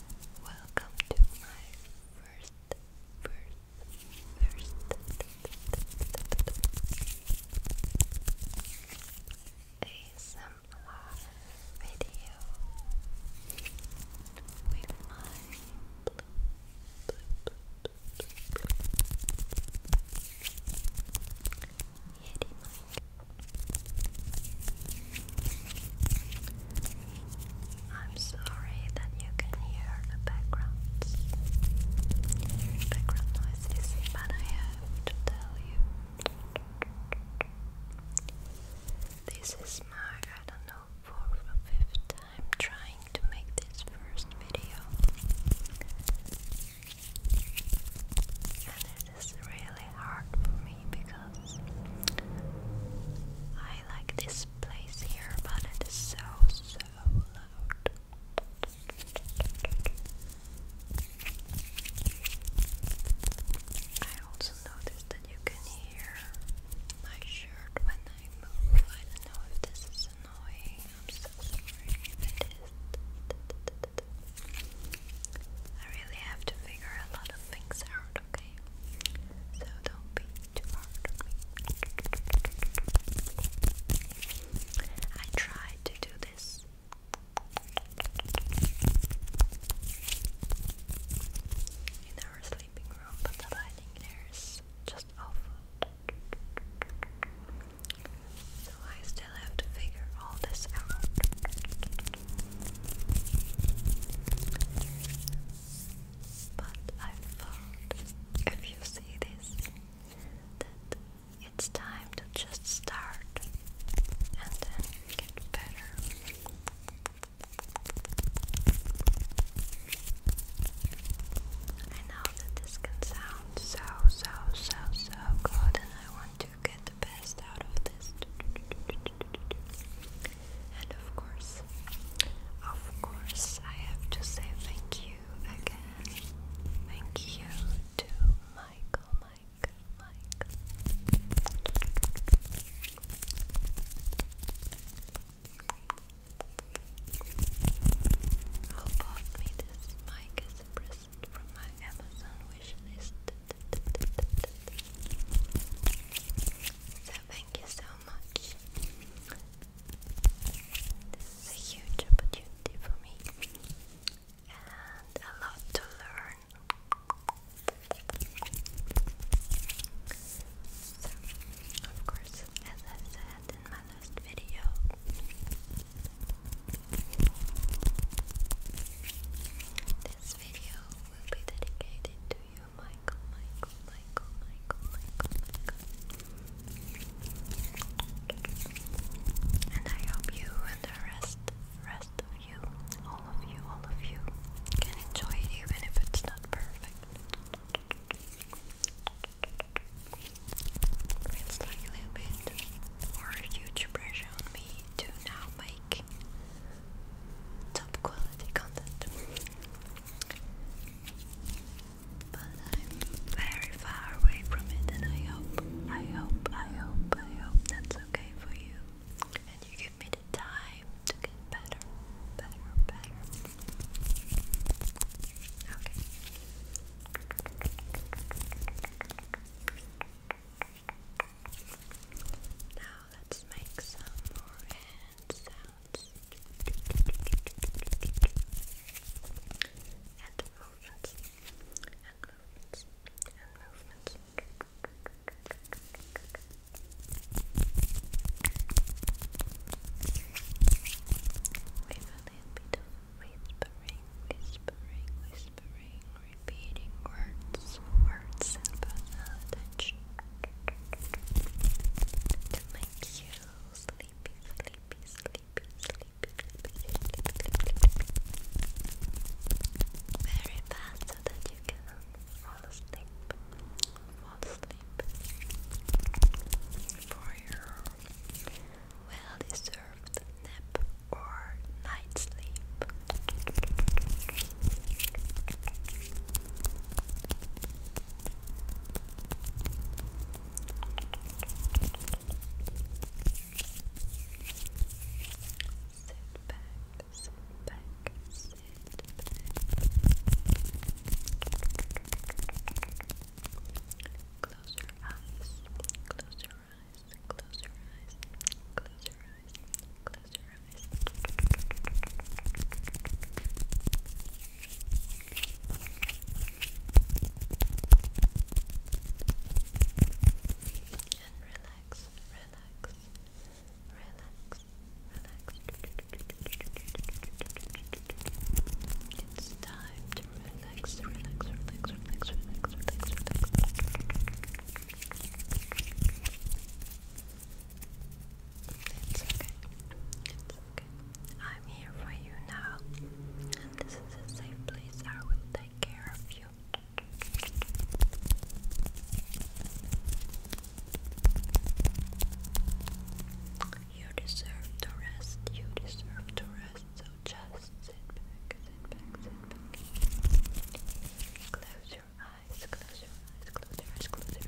Welcome to my first, first, first ASMR video with my blue, I'm sorry that you can hear the background background noises, but I have to tell you this is my I don't know fourth or fifth time trying to make this first video, it's really hard for me because I like this place here, but it is so, so loud. I also noticed that you can hear my shirt when I move. I don't know if this is annoying. it is. I really have to figure a lot of things out, okay? So don't be too hard I try to do this. In our sleeping room, but the lighting there is just awful. So I still have to figure all this out. But I thought if you see this, that it's time to just start and then get better. I know that this can sound so, so, so, so good, and I want to get the best out of this. And of course, of course, I have to say thank you again. Thank you to Michael, Mike, Mike. Who bought me this mic as a present from my Amazon wish list? So thank you so much. This a huge opportunity for me and a lot to learn. So, of course, as I said in my last video, this video show will be dedicated to you, Michael, Michael, Michael, Michael, Michael, And I hope you and the rest, rest of you, all of you, all of you, can enjoy it even if it's not perfect. Feels like a bit or a huge pressure on me to now make top quality content. But I'm very far away from it, and I hope, I hope, I hope, I hope that's okay for you. And you give me the time to get better, better, better. Okay. Now let's make some more hand sounds and movements and movements and movements. whispering, whispering, whispering whispering, repeating words, words and attention to make you sleepy, sleepy, sleepy, sleepy, sleepy, sleepy, sleepy. very fast so that you can fall asleep, fall asleep for your well-deserved nap or night sleep. Sit back, sit back, sit Close your eyes, close your close your eyes, close your eyes, close your eyes. And relax, relax, relax, relax. It's time to relax, relax, relax, relax, relax, relax. It's okay. It's okay. I'm here for you now. And this is a safe place. I will take care of you. You deserve to rest. You deserve to rest. So just sit back, sit back, sit back. Close your eyes, close your eyes, close your eyes, close your eyes.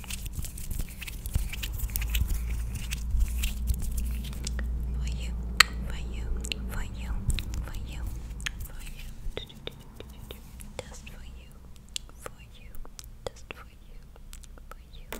For you, for you, for you, for you, for you, just for you, for you, just for you, for you. you,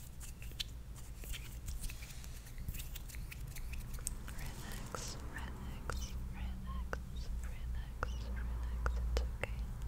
Relax, relax, relax, relax, relax. okay. Just relax, relax, relax, relax.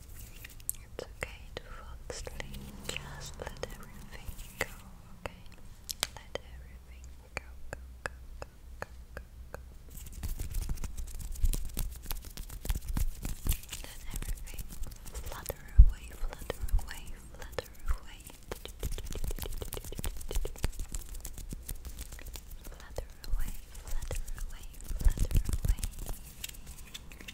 It's okay to fall asleep. Just let everything go, okay? Let everything go, go, go, go, go, go, go. Let everything flutter away, flutter away, flutter away. Flutter away, flutter away, flutter away.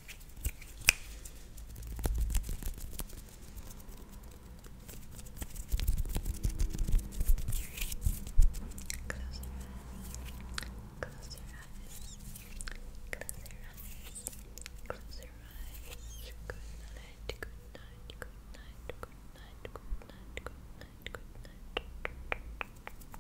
Close your eyes. Close your eyes. Close your eyes. Close your eyes. Good night. Good night. Good night. Good night. Good night. Good night. Good night. Good night.